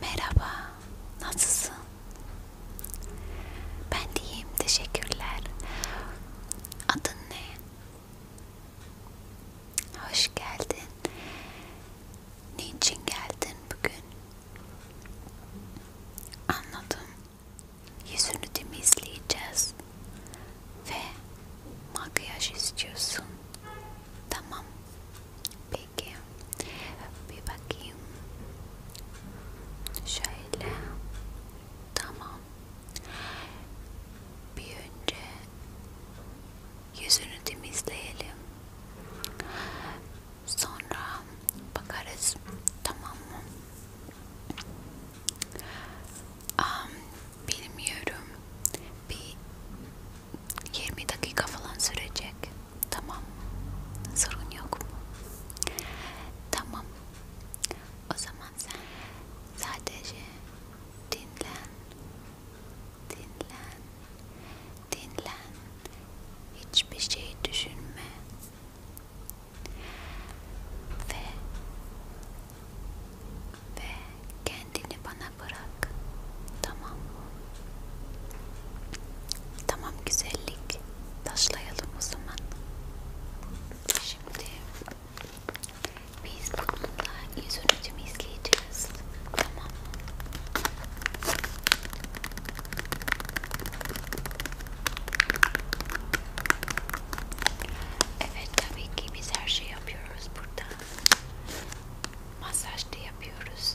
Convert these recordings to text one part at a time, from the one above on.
Merhaba, nasılsın? Ben de iyiyim, teşekkürler. Adın ne? Hoş geldin. Niçin geldin bugün? Anladım. Yüzünü temizleyeceğiz ve makyaj istiyorsun. Tamam. Peki. Bir bakayım. Şöyle. Tamam. Bir önce yüzünü temizleyelim. Sonra bakarız. Tamam mı? Um, bilmiyorum. Bir 20 dakika falan sürecek. Tamam. Sorun yok mu? Tamam. O zaman sen sadece dinlen. Dinlen. Dinlen. Hiçbir şey düşünme. Ve ve Kendini bana bırak. Tamam mı? Tamam güzellik. Taşlayalım o zaman. Şimdi biz bununla yüz ölçümü izleyeceğiz. Tamam mı? Evet tabii ki biz her şey yapıyoruz burada. Masaj da yapıyoruz.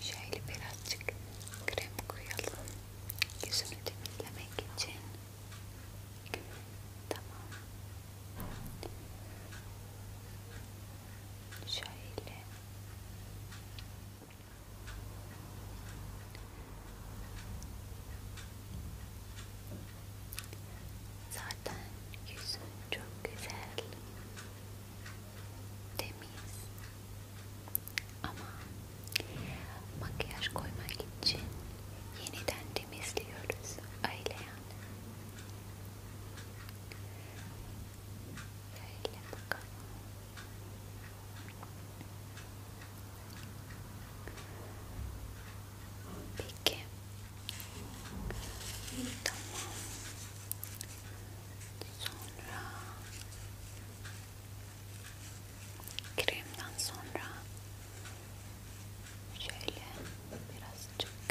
Şöyle birazcık krem koyalım yüzünü temizlemek için. Tamam. Şöyle Zaten yüzün çok güzel, temiz ama makyaj koymak için yeniden temizliyoruz aile yani. Böyle bakalım. Peki. Tamam. Sonra kremden sonra şöyle birazcık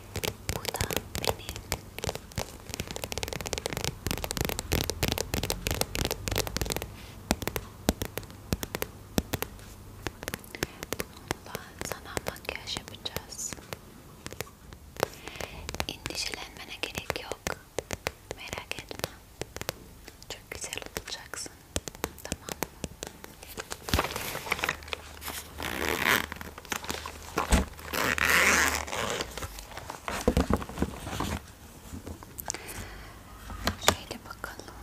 Bu da benim. Bununla sana makyaj yapacağız. Endişelenmene gerek yok. Merak etme. Çok güzel olacaksın. Tamam mı? Şöyle bakalım.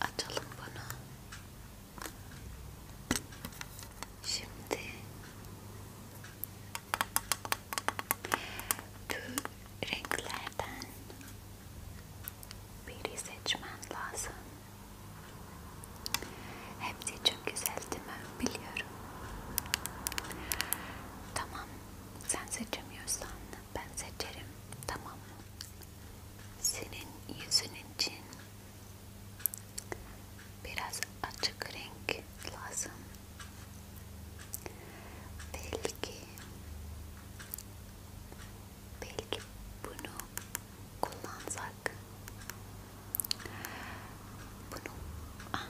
Açalım bunu. Şimdi bu renklerden biri seçmen lazım. Hepsi çok güzel değil mi? Biliyorum. Tamam. Sen seçemiyorsan ben seçerim. Tamam. Senin yüzün için Biraz açık renk lazım. Belki belki bunu kullansak bunu ah,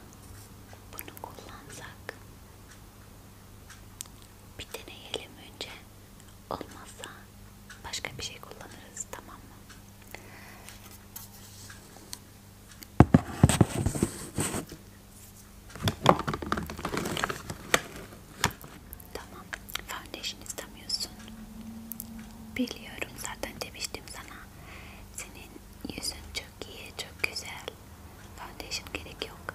bunu kullansak bir deneyelim önce olmazsa başka bir şey kullanırız tamam mı? Tamam. Foundation istemiyorsun. Biliyorum zaten demiştim sana. Senin yüzün çok iyi, çok güzel. Foundation gerek yok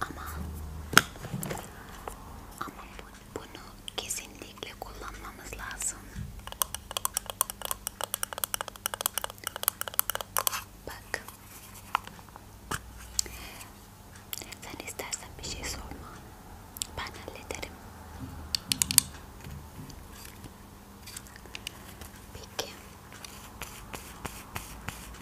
ama ama bunu kesinlikle kullanmamız lazım. Bak. Sen istersen bir şey sorma. Ben hallederim. Peki.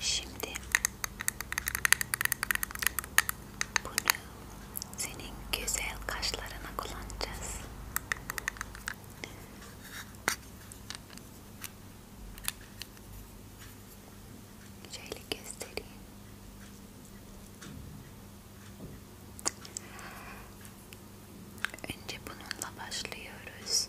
Şimdi bunu senin güzel kaşlarına kullanacağız. Şöyle göstereyim. Önce bununla başlıyoruz.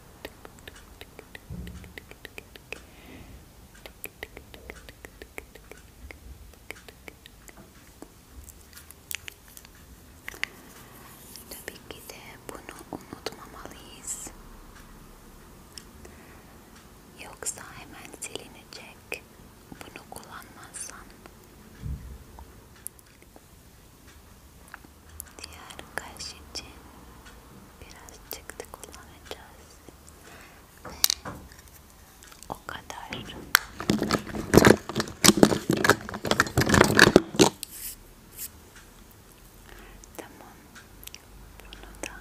Tabii ki de bunu unutmamalıyız. Yoksa hemen silinecek. Bunu kullanmazsan Diğer kaş için biraz çıktı kullanacağız ve o kadar. Tamam, bunu da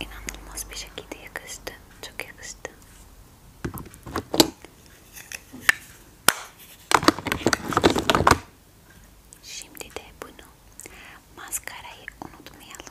İnanılmaz bir şekilde yakıştı. Çok yakıştı. Şimdi de bunu maskarayı unutmayalım.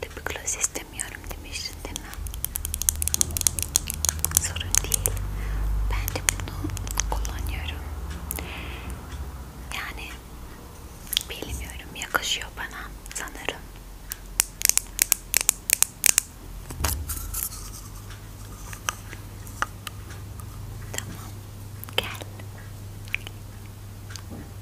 Tabi gloss istemiyorum demiştin değil mi? Sorun değil. Ben de bunu kullanıyorum. Yani bilmiyorum yakışıyor bana sanırım. Tamam. Gel.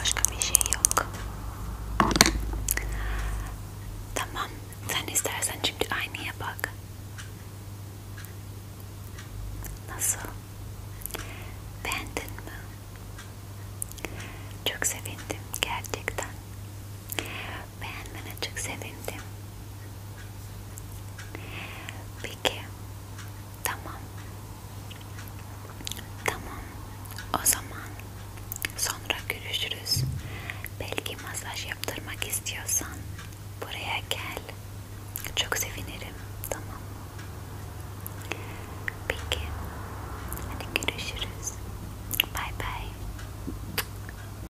Başka bir şey yok. Tamam. Sen istersen şimdi aynaya bak. Nasıl? Beğendin mi? Çok sevindim gerçekten. Beğenmene çok sevindim. Peki. Tamam. Tamam. O zaman sonra görüşürüz. Belki masaj yaptırmak istiyorsan buraya gel. Çok sevinirim. Tamam. Peki. Hadi görüşürüz. Bye bye.